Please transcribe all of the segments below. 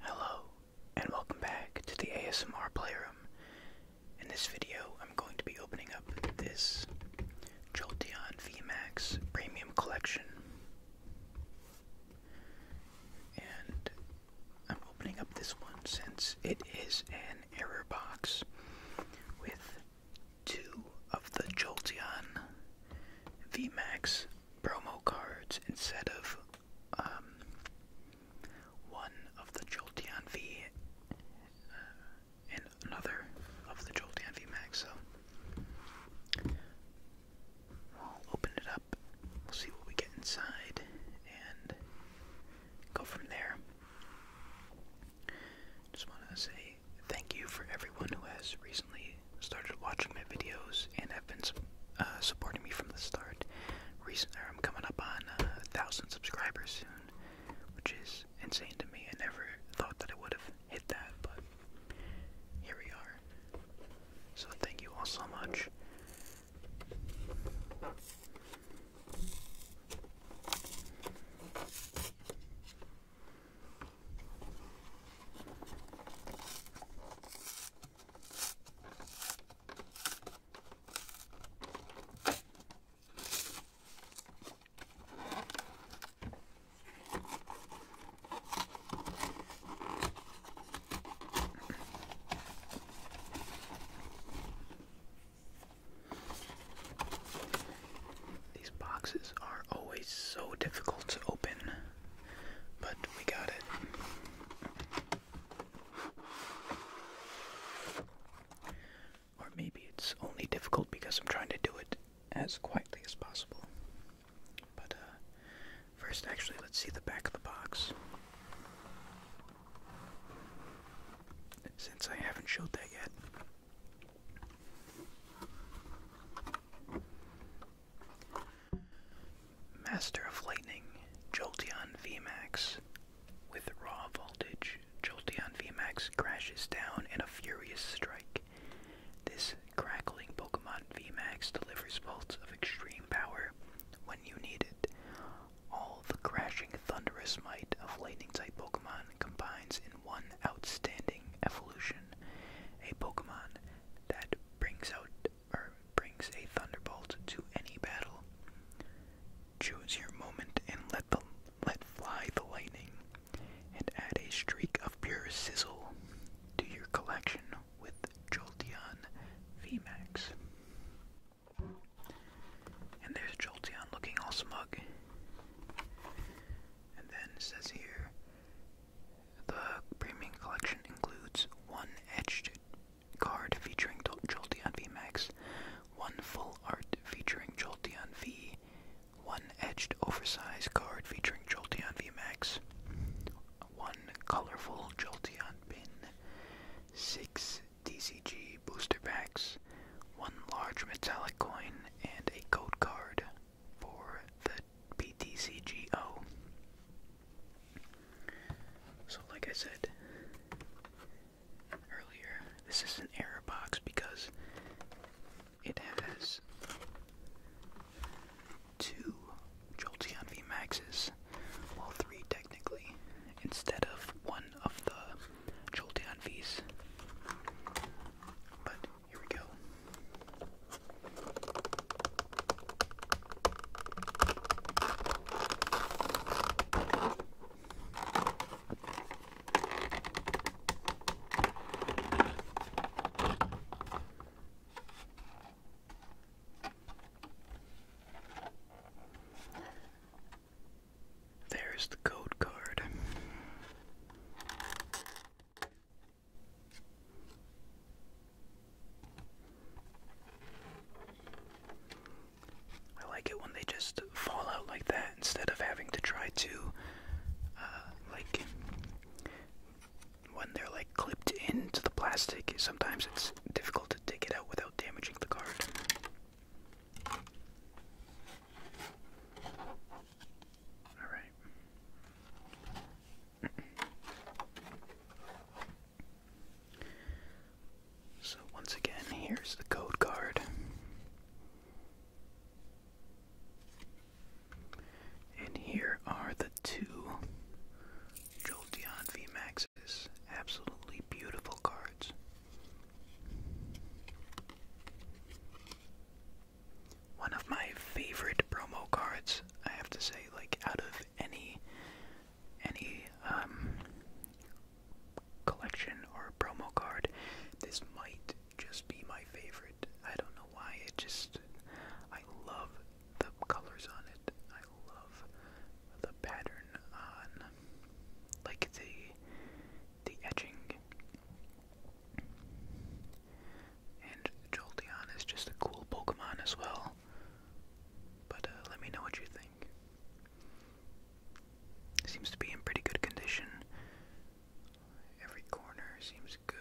Hello, and welcome back to the ASMR Playroom. In this video, I'm going to be opening up this Jolteon VMAX Premium Collection. And I'm opening up this one since it is an error box with two of the Jolteon VMAX promo cards instead of um, one of the Joltian V uh, and another of the Joltian V Max. So we'll open it up, we'll see what we get inside, and go from there. Just want to say thank you for everyone who has. Recently started watching my videos and have been uh, supporting me from the start. Recently, uh, I'm coming up on uh, a thousand subscribers soon, which is insane to me. I never thought that I would have hit that, but here we are. So thank you all so much. These boxes are always so difficult to open but we got it. Or maybe it's only difficult because I'm trying to do it as quietly as possible. But uh, first, actually, let's see the back of the box. Since I haven't showed that yet. Master of Lightning, Jolteon VMAX. With raw voltage, Jolteon VMAX crashes down in a furious strike. This crackling Pokemon VMAX delivers bolts of extreme power when you need it. All the crashing thunderous might of lightning type Pokemon combines in one outstanding evolution. A Pokemon that brings out or brings a thunderbolt to any battle. Choose your moment and let the let fly the lightning, and add a streak of pure sizzle to your collection with Jolteon VMAX. And there's Jolteon looking all smug. And then says here the premium collection includes one etched card featuring Jolteon VMAX, one full art featuring Jolteon V, one etched oversized card featuring Jolteon VMAX, one colorful Jolteon pin, six DCG booster packs, one large metallic coin, and a code card for the PTCGO. So, like I said earlier, this is an error box because it has two Joltian V Maxes, well, three technically, instead of one of the Joltian Vs. Here we go. There's the code card. I like it when they just fall out like that instead of having to try to, uh, like, when they're like clipped into the plastic, sometimes it's difficult to take it out without damaging the card. All right. So once again, here's the code card. And here are the two Jolteon VMAXs. Absolutely beautiful cards one of my favorite promo cards, I have to say, like out of any any um collection or promo card, this might just be my favorite. I don't know why, it just I love the colors on it. I love the pattern on like the the edging And Jolteon is just a cool Pokemon as well. But uh, let me know what you think. seems to be in pretty good condition. Every corner seems good.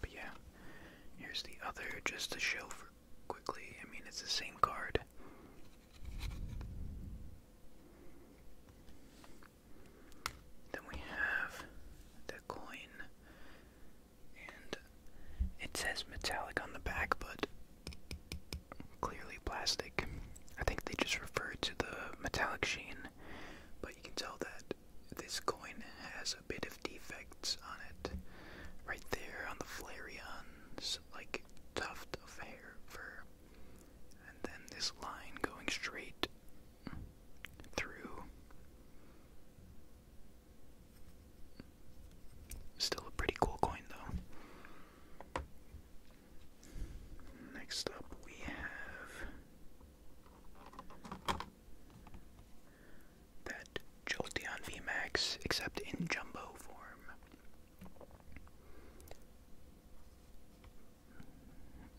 But yeah, here's the other just to show for quickly. I mean, it's the same card. Then we have the coin and it says metallic on the back, but clearly plastic. I think they just refer to the metallic sheen, but you can tell that this coin has a bit of defects on it. Right there on the flareon's like tuft of hair fur. And then this line going straight through Still a pretty cool coin, though. Next up, we have that Jolteon VMAX, except in jumbo form.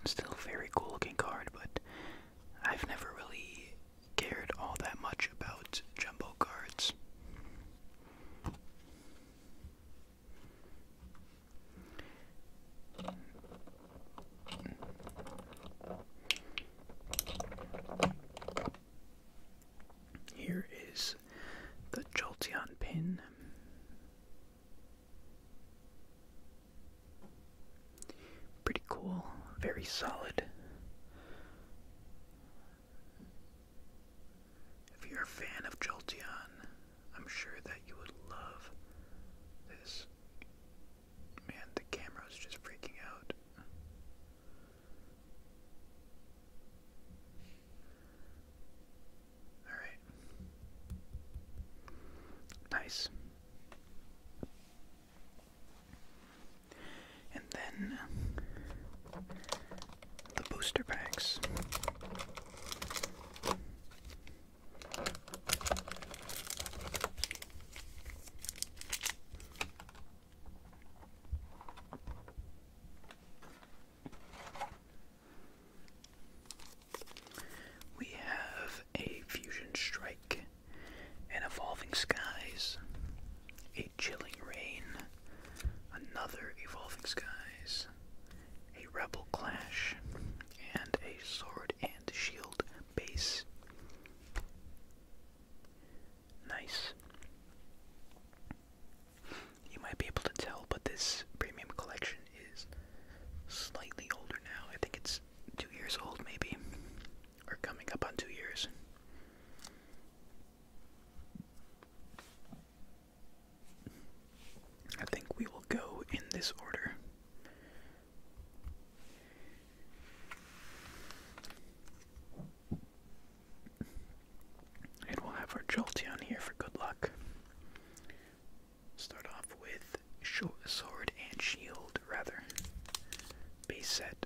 Still very cool looking card, but I've never really cared all that much about jumbo cards. Here is the Jolteon pin. Pretty cool, very solid. If you're a fan of Jolteon, I'm sure that you would love this. Man, the camera's just freaking out. Alright. Nice and then the booster packs. We have a Fusion Strike and evolving skies. A chilling rain, another evolving skies, a rebel clash, and a sword and shield base. Nice. You might be able to tell, but this premium collection is slightly older now. I think it's two years old, maybe or coming up on two years. I think we will go in this order. And we'll have our Jolteon here for good luck. Start off with Sword and Shield, rather. Base set.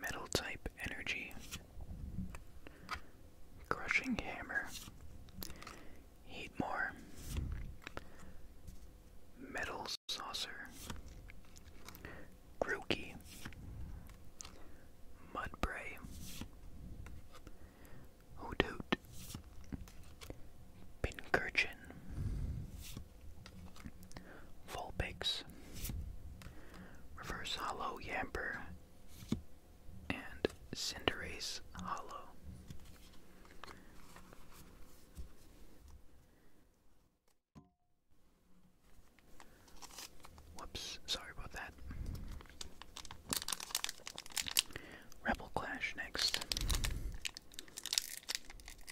Metal type energy. Crushing hammer. Heat more. Metal saucer. Grookey. Mudbray. Hoodoot. Pincurchin. Vulpix, Reverse Hollow Yamper, and Cinderace Hollow. Whoops, sorry about that. Rebel Clash next.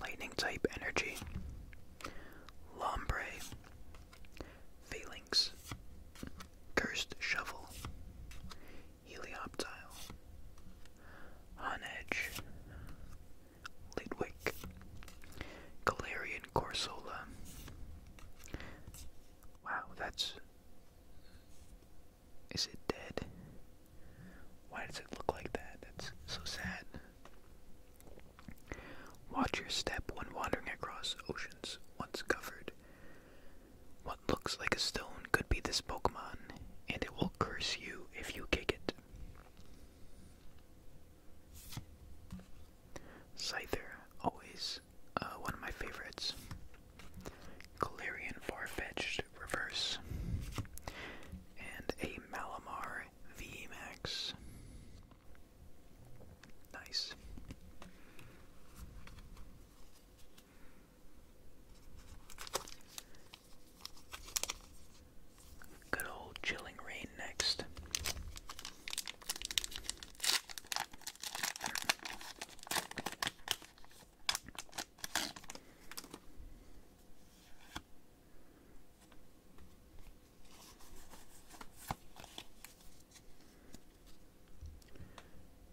Lightning type energy. Lombre. Phalanx. Cursed Shovel. Helioptile. On Lidwick. Galarian Corsola. Wow, that's is it dead? Why does it look like that? That's so sad. Watch your step when wandering across oceans once covered. What looks like a stone could be this Pokemon, and it will curse you if you kick it. Scyther, always uh, one of my favorites. Galarian Farfetch'd Reverse, and a Malamar VMAX. Nice. Good old chilling rain next.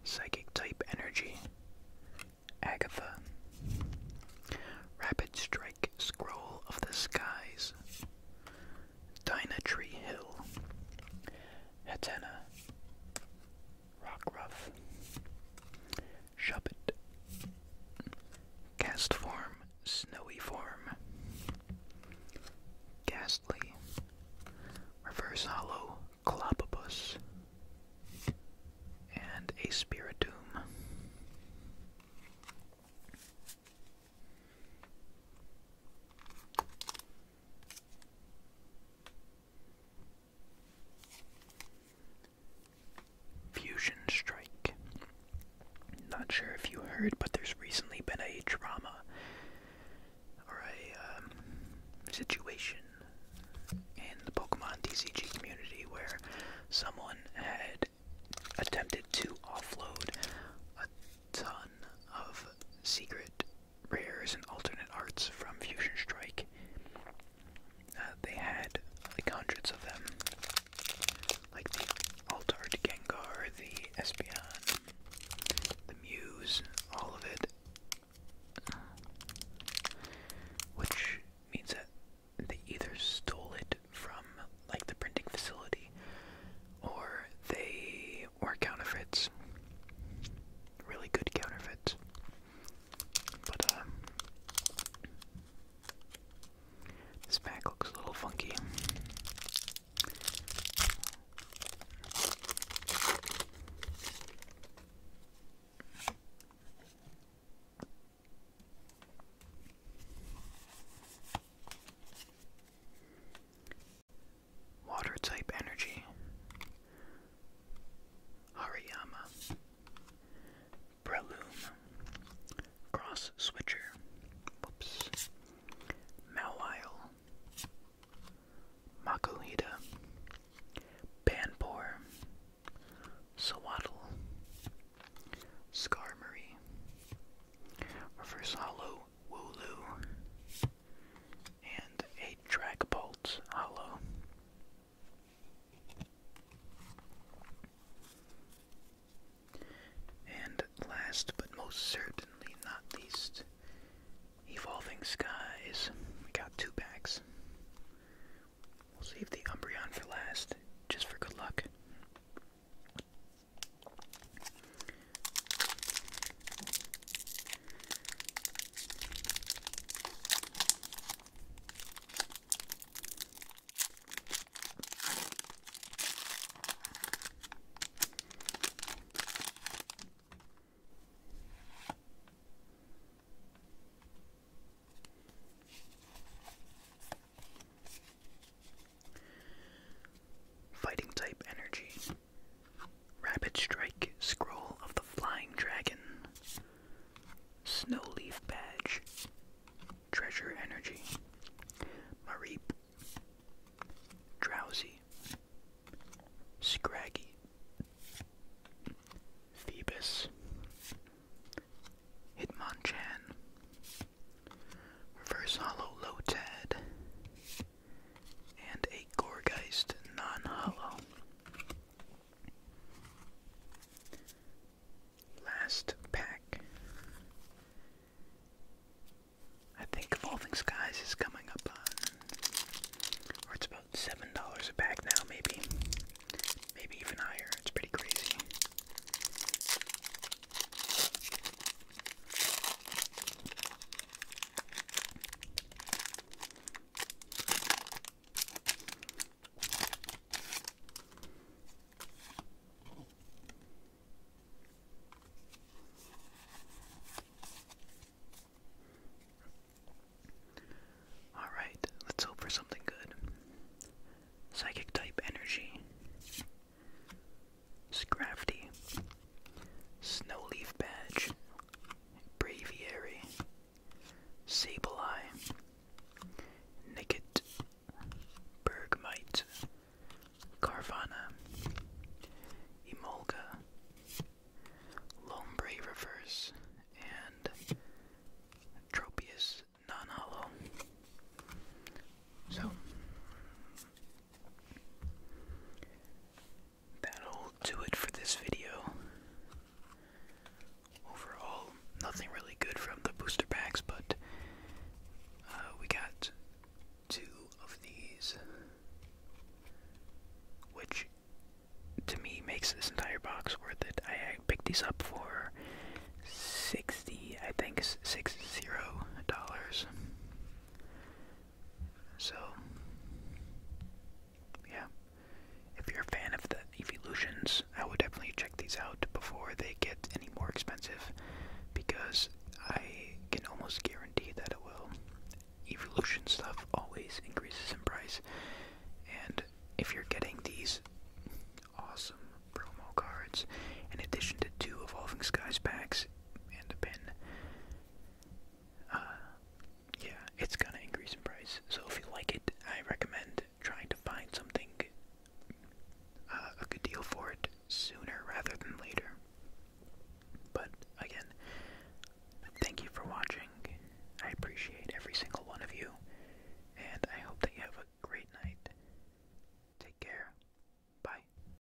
Psychic type energy. Agatha. Rapid strike scroll of the skies. Dinah Tree Hill. Hetena. Rock Rough, Shubbit, Cast Form, Snowy Form, Ghastly, Reverse Hollow, Clopopus, and a spiritum. Fusion Strike. Not sure if you heard, but there's recently been a drama or a um, situation in the Pokemon TCG community where someone had attempted to offload a ton of secret rares and alternate arts from Fusion Strike uh, they had like hundreds of them, like the Altard Gengar, the Espeon, the Muse, all of it. Which means that they either stole it from like the printing facility or they were counterfeits. Really good counterfeits. Uh, this pack looks a little funky. Water type energy. Hariyama, Breloom, Cross Switcher, whoops, Mawile, Makuhita, Swaddle, Sawaddle, Skarmory, Wooloo, and a Dragapult Hollow. And last but most certainly not least, Evolving Skies. We got two packs. We'll save the Umbreon for last, just for good luck. Fighting type energy. Rabbit Strike Scroll of the Flying Dragon, Snow Leaf Badge, Treasure Energy, Mareep, Drowsy, Scraggy, Phoebus, Hitmonchan, Reverse Hollow Lotad, and a Gorgeist non-hollow. Last pack. I think Evolving Skies is coming up or it's about seven dollars a pack now, maybe, maybe even higher. It's pretty crazy. All right, let's hope for something good. Psychic type energy. Scrafty. Snowleaf Badge, Braviary, Sableye, Nicket, Bergmite, Carvana, Emolga, Lombre Reverse, and Tropius Non-Hollow. So, that'll do it for this video. Overall, nothing really good from the booster packs, but uh, we got two of these, which to me makes this entire box worth it. I picked these up for sixty, I think, six zero dollars. So, yeah. If you're a fan of the Evolutions, I would definitely check these out before they get any more expensive because I can almost guarantee that it will. Evolution stuff always increases in price, and if you're getting these awesome promo cards in addition to two Evolving Skies packs and a pin, uh, yeah, it's gonna increase in price. So if you like it, I recommend trying to find something uh, a good deal for it sooner rather than later. But again, thank you for watching. I appreciate every single one of you, and I hope that you have a great night. Take care. Bye.